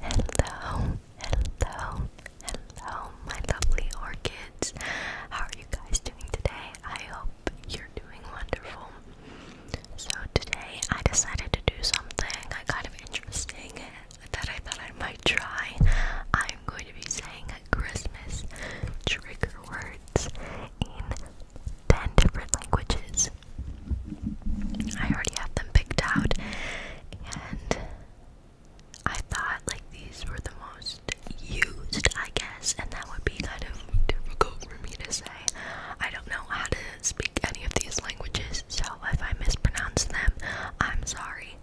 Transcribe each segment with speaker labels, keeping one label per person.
Speaker 1: Hello, hello, hello, my lovely orchids. How are you guys doing today? I hope you're doing wonderful. So, today I decided to do something kind of interesting that I thought I might try. I'm going to be saying Christmas trigger words in 10 different languages. I already have them picked out and I thought like these were the most used, I guess, and that would be kind of difficult for me to say. I don't know how to speak any of these languages, so if I mispronounce them, I'm sorry.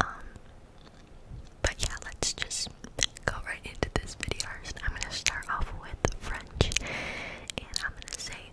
Speaker 1: Um, but yeah, let's just go right into this video. First, I'm gonna start off with French, and I'm gonna say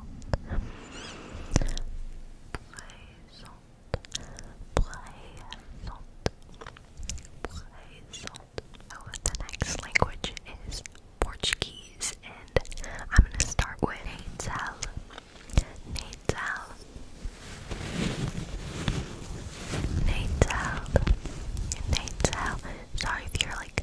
Speaker 1: présente, the next language is Portuguese, and I'm gonna start with Natal, Natal, Natal, Natal. Sorry if you're like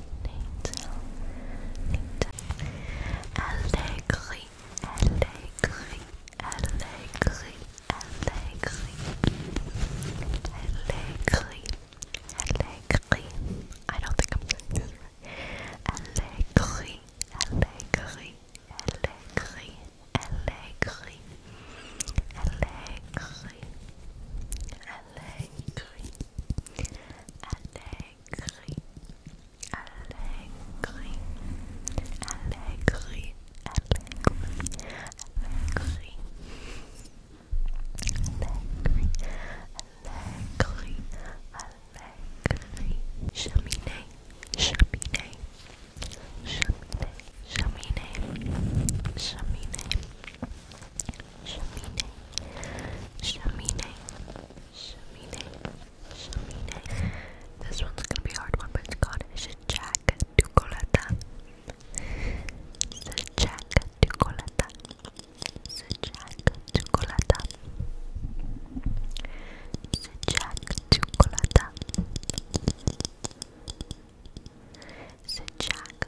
Speaker 1: Allegri, I don't think I'm saying Allegri, Allegri, Allegri, Allegri, Allegri, Allegri, Allegri, Allegri, Cheminée, Cheminée, Cheminée, Cheminée, Cheminée. Cheminée, cheminée, cheminée, cheminée. This one's gonna be a hard one, but it's called Jack Ducolata. Jack Ducolata. Jack Ducolata. Jack Ducolata. Jack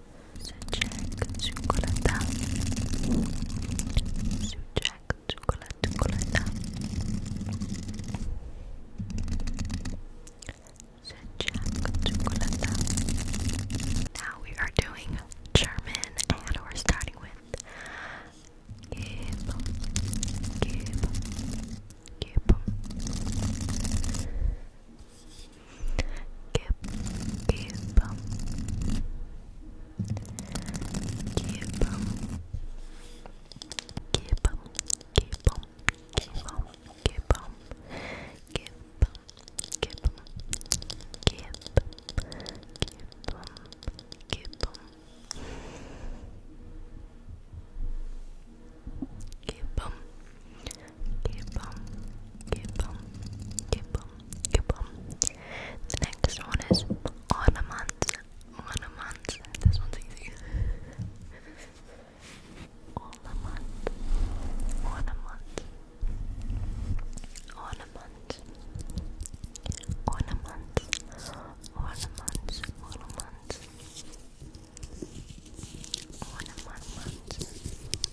Speaker 1: Sucek, czekolada. Sucek, czekolada, czekolada. Sucek, czekolada. Now we are doing German and we're starting with Gib, Gib, Gib. Keep, keep, keep, keep, keep, keep, keep, keep, Keep, keep, keep, keep, Keep on, keep on, The next one is ornaments, ornaments. This one's easy. ornaments, ornaments, ornaments, ornaments, ornaments, ornaments. Ornament, ornament, ornament, ornament, ornament, ornament, ornament, ornament, ornament, ornament, ornament, ornament, ornament, ornament, ornament, ornament, ornament,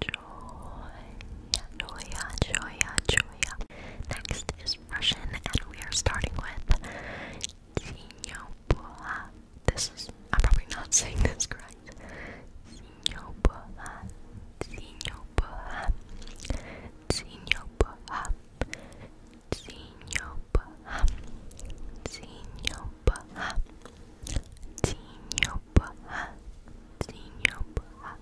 Speaker 1: Joya, Joya, Joya, Joya. Next is Russian, and we are starting with Zinyobola. This is, I'm probably not saying this correct. Zinyobola, Zinyobola, Zinyobola, Zinyobola, Zinyobola, Zinyobola, Zinyobola.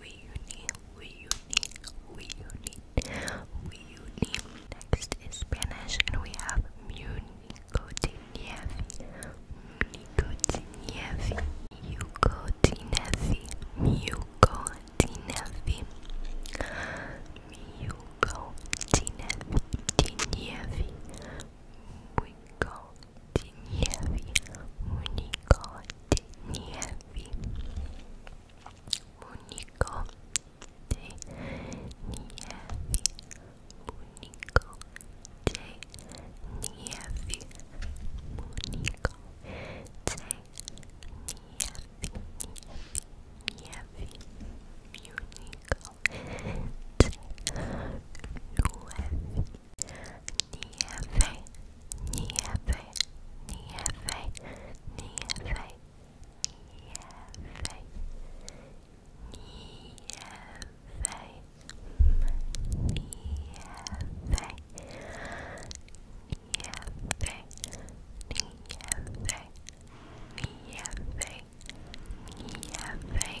Speaker 1: we uni, we uni, we uni, we uni. Next is Spanish, and we have Municotinevi, Municotinevi, Mucotinevi, Mucotinevi, Mucotinevi, Tinevi, Muñeco de nieve, muñeco de nieve, muñeco de nieve, muñeco de nieve, muñeco nieve, nieve, nieve, nieve, nieve, nieve. Nieve, nieve, nieve, nieve, nieve, nieve,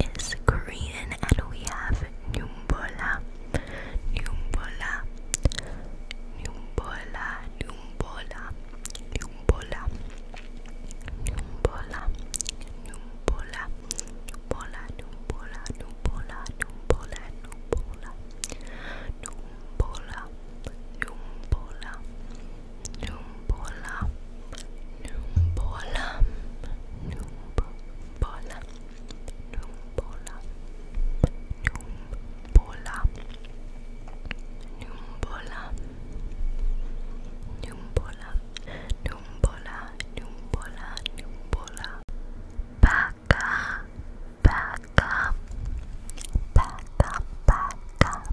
Speaker 1: Next is Korean and we have Numbola. Numbola. Numbola. Numbola. Numbola. Numbola. Numbola. Numbola. Numbola. Numbola. Numbola. Numbola. Numbola. Numbola. Numbola, Numbola, Numbola, Numbola, Numbola, Numbola, Numbola, Numbola, Numbola, Numbola, Baka, Baka, Baka, Baka,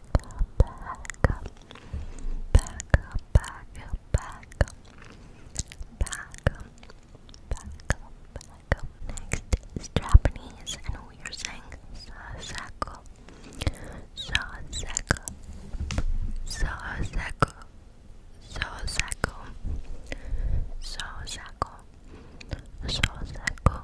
Speaker 1: up, back up, back up, back up, back up, back up, back up, Next is Japanese, and we are saying sasako, sasako, sasako, sasako, sasako, sasako, sasako.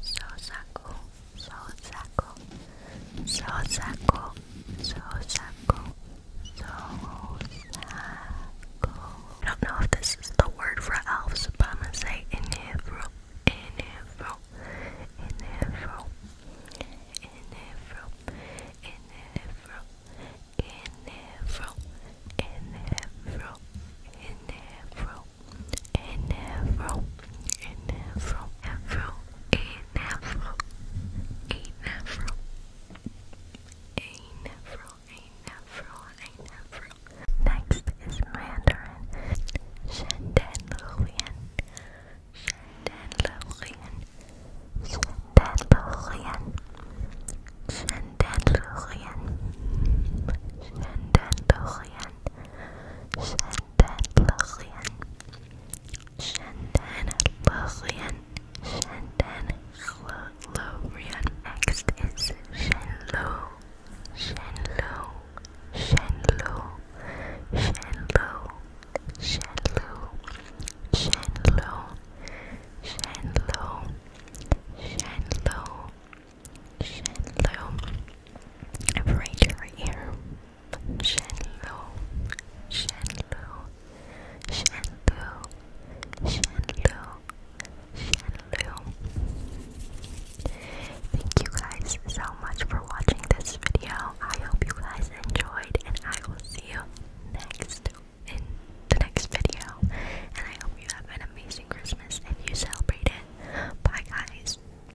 Speaker 1: so saco, so saco, so saco, so saco, so saco. I don't know if this is the word for elves, but I'm gonna say inevro, inevro, inevro, inevro, inevro, inevro, inevro, inevro an afro, an afro, afro, an afro, an afro, an afro, an afro, an Next is Mandarin. Shandan Lurian. Shandan Lurian. Shandan Lurian. Shandan Lurian. Shandan Lurian. Shandan Lillian, Shantan Lillian, Shantan Lillian. Next is Shenlu, Shenlu, Shenlu, Shenlu, Shenlu, Shenlu, Shenlu, Shenlu, Shenlu. I've right here. Shenlu, Shenlu, Shenlu, Shenlu, Shenlu. Thank you guys so much for watching this video. I hope you guys enjoyed, and I will see you next in the next video. And I hope you have an amazing Christmas if you celebrate it. Bye, guys.